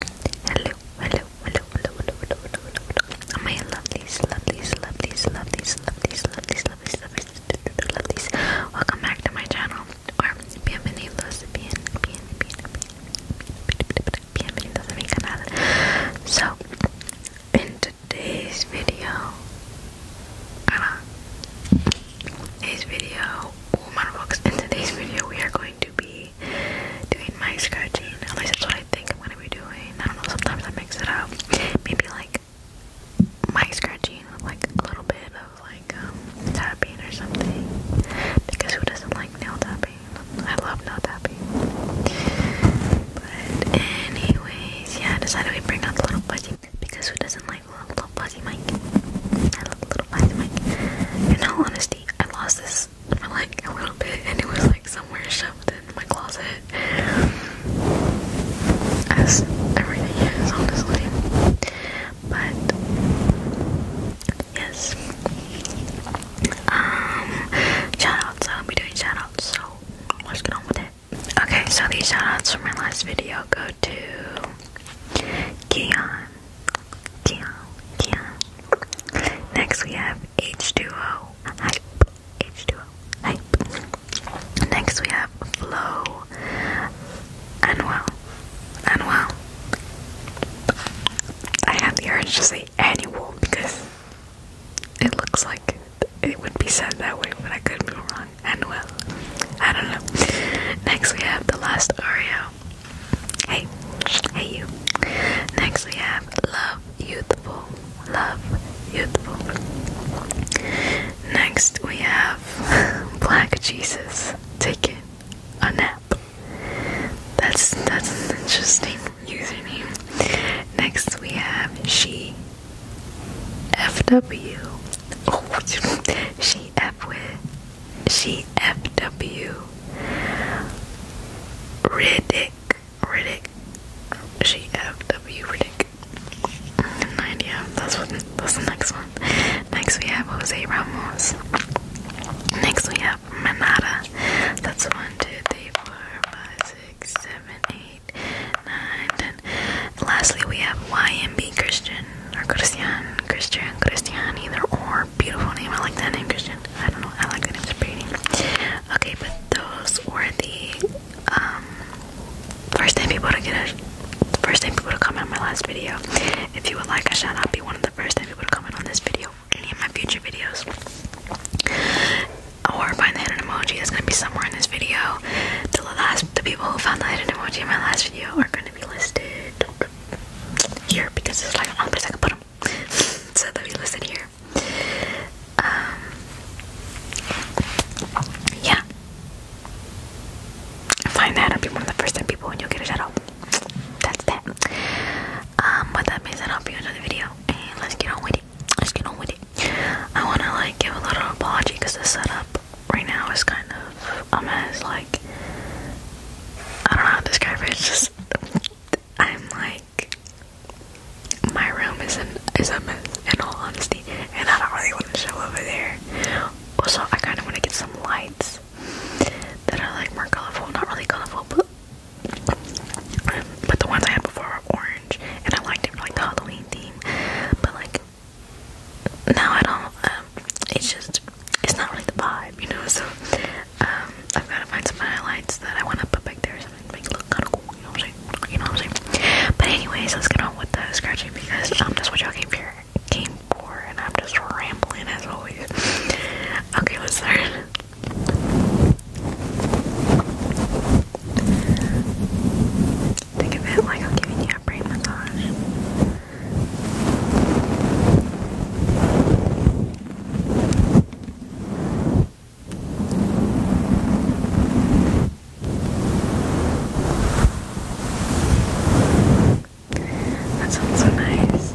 Hello, hello, hello, hello, hello, hello, hello, hello. My lovelies, lovelies, lovelies, lovelies, lovelies, lovelies, lovelies, lovelies, lovelies. Welcome back to my channel. bienvenidos, bien, bien, bien, bienvenidos a mi canal. So, in today's video, ah, today's video, oh, my box. In today's video, we are going to be be doing my scratching. At least that's what I think I'm gonna be doing. I don't know, sometimes I mix it up. Maybe like my scratching with like a little bit of like um tapping or something. Because who doesn't like nail tapping? I love nail tapping. But anyways, yeah, I decided we bring out the little fuzzy because who doesn't like a little fuzzy mic? I love the little fuzzy mic. In all honesty, I lost this just for like a little bit and it was like somewhere shoved in my closet. As everything is, honestly. But yes. Um shoutouts, I'll be doing shoutouts, so let's get on with it. Okay, so these shoutouts from my last video go to Keon, yeah, yeah. Next we have H2O. Hype. H2O. Hype. Next we have Flow. Anuel. Anuel. I have the urge to say annual because it looks like it would be said that way, but I could be wrong. Anuel. I don't know. Next we have the last Ario. Hey, hey you. Next we have Love Youthful. Love Youthful. Next we have Black Jesus taking a nap. That's that's an interesting username. Next we have she FW. Oh, she fw. CFW Riddick Riddick CFW Riddick and that's the next one. Next we have Jose Ramos. Next we have Manada. That's one, two, three, four, five, six, seven, eight, nine, ten. And lastly we have YMB Christian or Christian Christian Christian either or beautiful name. I like that name Christian. I don't know. I like that it was pretty. Okay, but those were the um, first ten people to get a first ten people to comment on my last video. If you would like I shall not be one of the first ten people to comment on this video or any of my future videos. Or find the hidden emoji is gonna be somewhere in this video. The last the people who found the hidden emoji in my last video are gonna be listed here because it's like on place I can put them so that we listen here. Um, yeah. Find that up. You're one of the first 10 people and you'll get a shout That's that. Um, but that means I'll be in another video. And let's get on with it. Let's get on with it. I want to like give a little apology because the setup right now is kind of a mess. Like, I don't know how to describe it. It's just I'm like my room is an is a mess in all honesty, and I don't really want to show over there. Also, I kind of want to get some lights that are like more colorful, not really colorful, but but the ones I had before are orange, and I liked it for like the Halloween theme. But like now I don't. Uh, it's just, it's not really the vibe, you know, so, um, I've gotta find some highlights that I wanna put back there or something to make it look kinda cool, you know what I'm saying, but anyways, let's get on with the scratching because, um, that's what y'all came for, came for, and I'm just rambling as always, okay, let's start. Think of it like I'm giving a brain massage. That sounds so nice.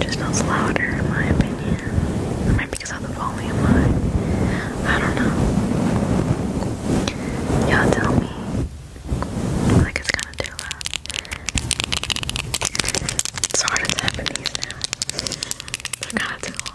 Just sounds louder in my opinion. might be because of the volume high. I don't know. Y'all tell me. Like it's kind of too loud. It's hard to tap in these now. they kind of too long.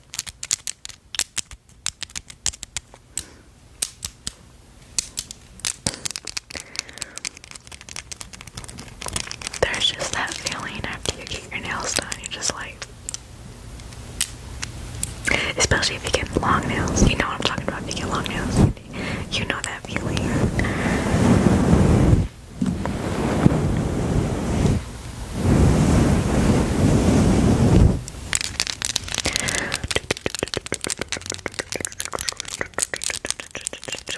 There's just that feeling after you get your nails done, you're just like. Especially if you get long nails. You know what I'm talking about. If you get long nails, you know that feeling.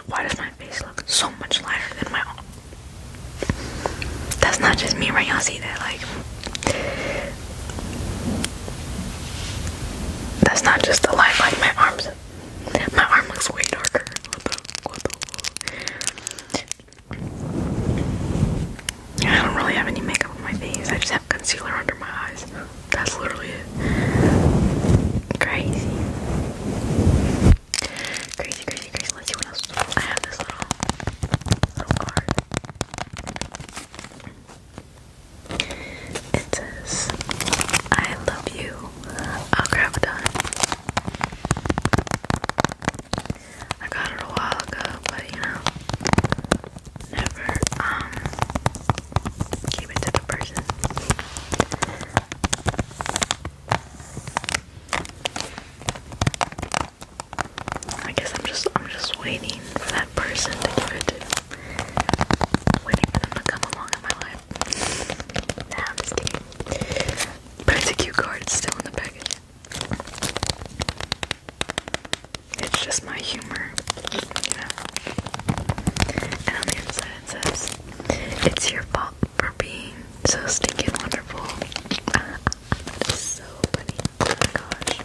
Why does my face look so much lighter than my own? That's not just me right Y'all see that like that's not just the light like my arms. My arm looks way darker. I don't really have any makeup on my face. I just have concealer under my eyes. That's literally it. Crazy. Crazy, crazy, crazy. Let's see what else. I have this little, little card. It says, I love you. Oh, i I got it a while ago, but you know, never um keep it to the person. I guess I'm just I'm just waiting for that person to give to. Waiting for them to come along in my life. Nah, But it's a cute card, it's still in the package. It's just my humor, you know. And on the inside it says, "It's your fault for being so stinking wonderful." Ah, so funny. Oh my gosh.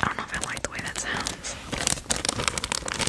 I don't know if I like the way that sounds.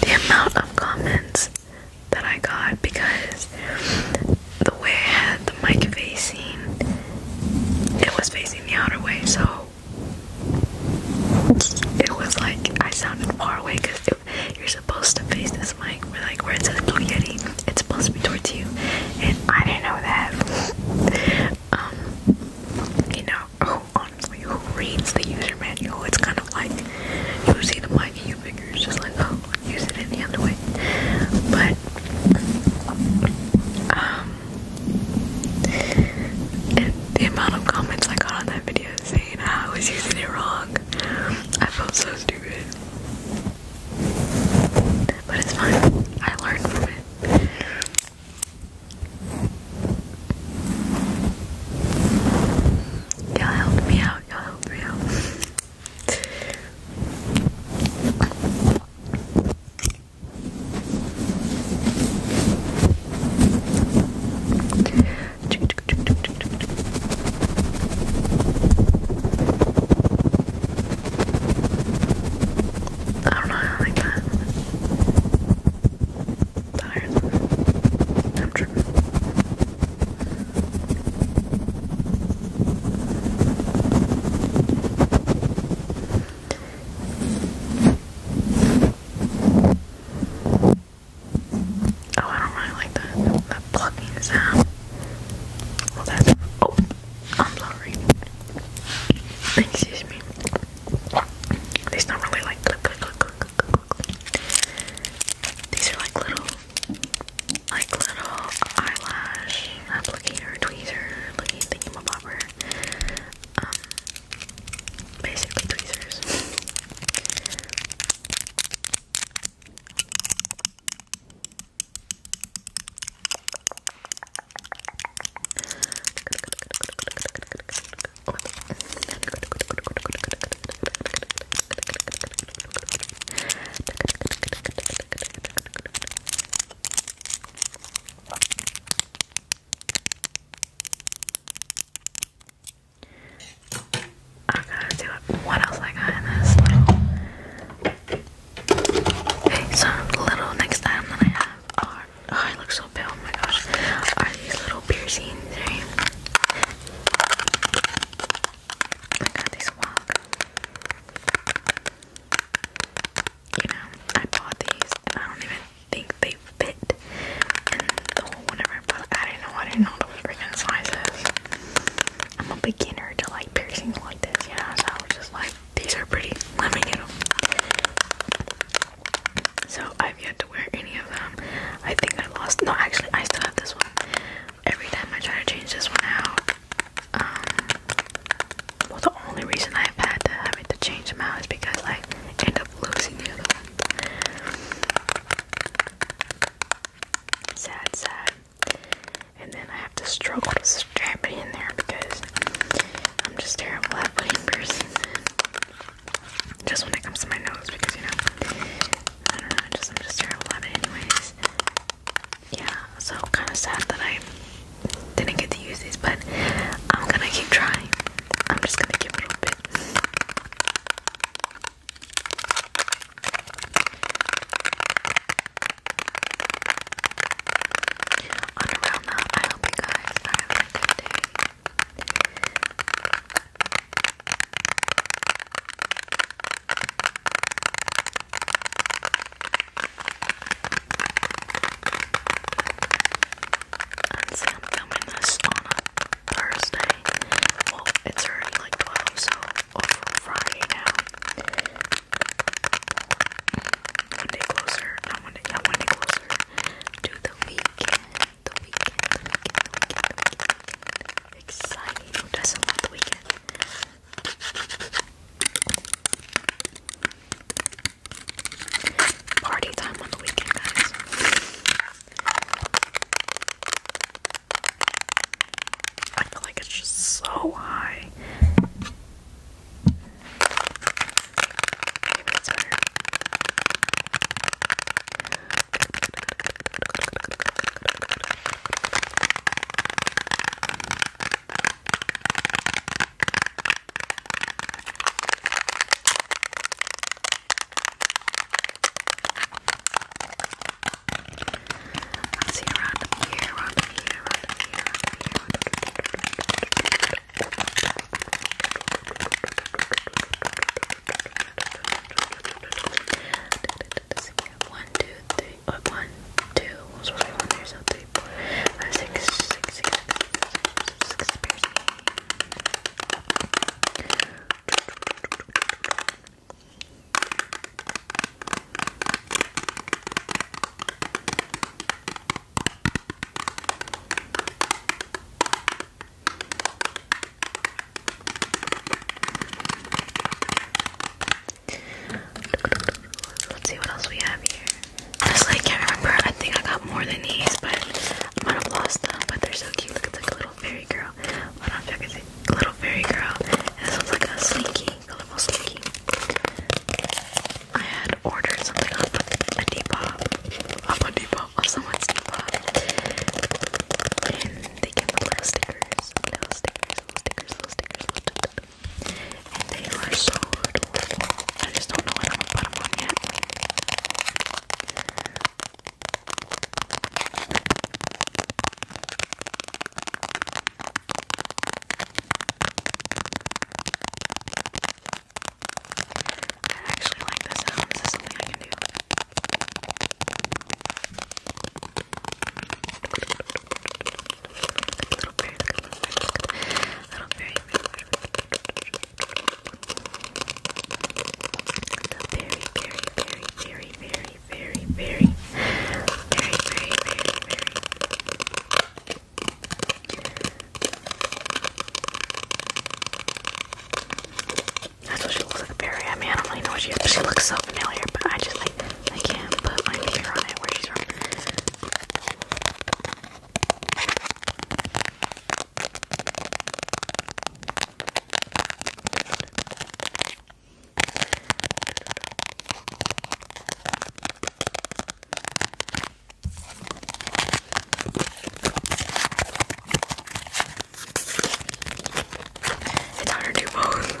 the amount of comments that I got because the way the mic facing, it was facing the outer way, so it was like I sounded far away because you're supposed to face this mic we're like we're says Blue Yeti, it's supposed to be towards you, and I didn't know that. um, you know, who honestly who reads the user manual? It's kind of like you see the mic and you figure it's just like oh use it any other way. But um, the amount of comments I got on that video saying I was using it wrong. I felt so stupid. But it's fine. I learned from it. Y'all help me out, y'all help me out. I don't know how I like that. I'm tripping. Oh, I don't really like that that plucking sound. Well, that's oh, I'm sorry. Excuse me. They sound really like these are like little, like little eyelash applicator, tweezer, looking thingamabobber. Um, basically tweezers. I'm to do it. What else I got in this Okay, so little next item that I have are. Oh, it looks Oh my gosh. Are these little piercings, right? I got these walk. You know, I bought these and I don't even think they fit. And the whole whenever I didn't know, I didn't know those freaking sizes. I'm a beginner to like piercings like this, you know, so I was just like, these are pretty, let me get them. So I've yet to wear any of them. I think I lost. No, actually, I still have this one. Every time I try to change this one out, um, well, the only reason I've had to have it to change them out is because I end up losing the other ones. Sad, sad. And then I have to struggle to strap it in there because I'm just terrible at putting piercings in. Just when it comes to my nose, because you know, I don't know, I just, I'm just terrible at it, anyways. Yeah, so kind of sad that I didn't get to use these, but I'm gonna keep trying. I'm just gonna give it a bit. On around that, I hope you guys are a good day. And see, I'm filming this on Thursday. Well, it's already like 12, so over oh, Friday now. One day closer, one day, one day closer to the weekend the weekend, the weekend, the weekend, Exciting. the weekend? Party time on the weekend, guys. I feel like it's just so high. Favorite sweater. Let's see around here, around here, around here, around here. One, two, three, or one, two, one, sorry, one, three, so three, four, five, six, six, six, six, six, six piercing. Okay. Let's see what else we have here. Honestly, I can't remember. I think I got more than these, but I might have lost them. But they're so cute. Look, it's like a little fairy girl. Hold on, check it. Little fairy girl. this one's like a slinky, colorful slinky. I had ordered something off a Depop. Off a Depop. Also wants to pop. And they get little stickers, little stickers, little stickers, little stickers, And they are so adorable. I just don't know what I'm gonna put them on yet. I actually like the sound. This is something I can do. Little fairy, little fairy, the very, very, very, very, very, very, very, very, very, very, very. That's what she looks like, Barry. I mean, I don't really know what she is, but she looks so familiar, but I just, like, I can't put my finger on it where she's from. It's hard to do both.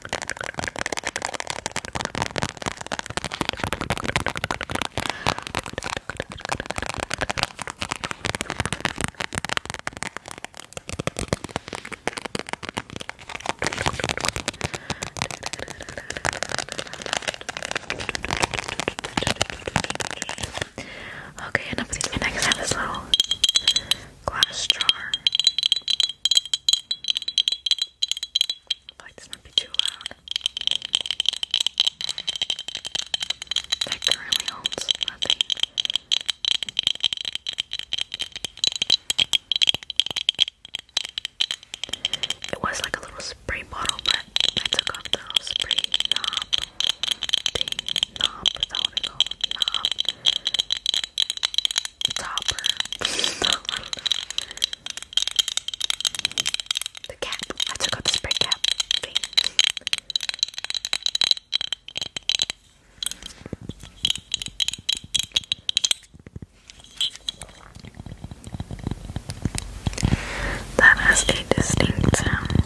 Okay, enough of these. Next, I have this little glass jar like this might be too loud. That currently holds nothing. It was like a little spray bottle, but I took off the little spray knob thing. Knob, is that Knob topper. the cap. I took out the spray cap That has a distinct um, sound.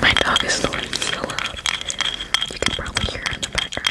My dog is snoring so loud. You can probably hear it in the background.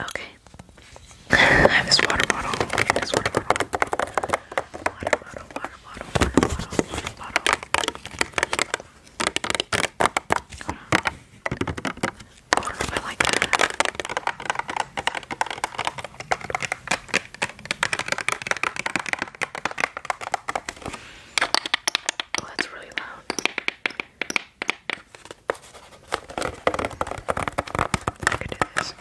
Okay. I have this water bottle. This water bottle. Water bottle, water bottle, water bottle, water bottle. Hold on. I don't know if I like that. Oh, that's really loud. I could do this.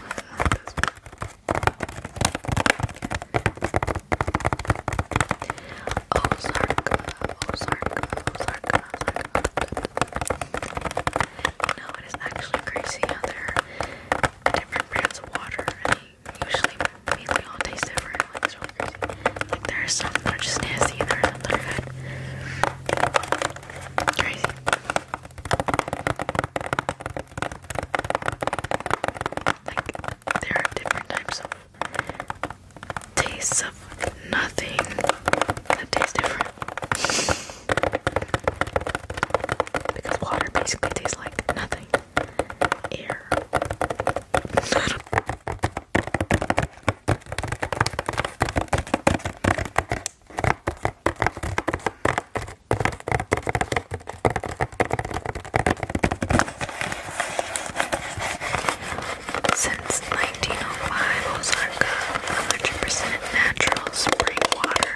Oh, sorry. Oh, sorry. Oh, sorry. Oh, no, it is actually crazy how they different brands of water, and they usually mainly all taste different. Like it's there are some that are just nasty, and there are some that are good. Crazy. Like there are different types of tastes of nothing that tastes different. Because water basically tastes like nothing. Air. Since 1905, Ozarka, 100% natural spring water.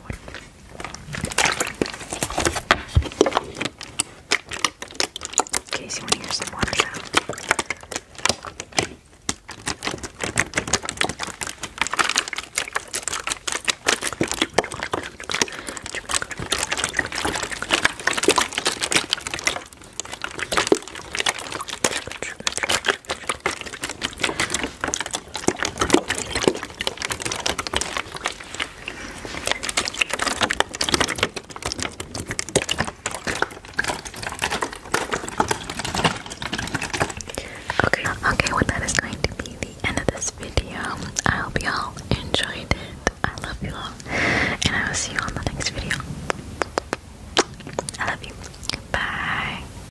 another one. In case you want to hear some water sound. Okay, okay, well that is going to be the end of this video. I hope y'all enjoyed it. I love you all. And I will see you on the next video. I love you. Bye.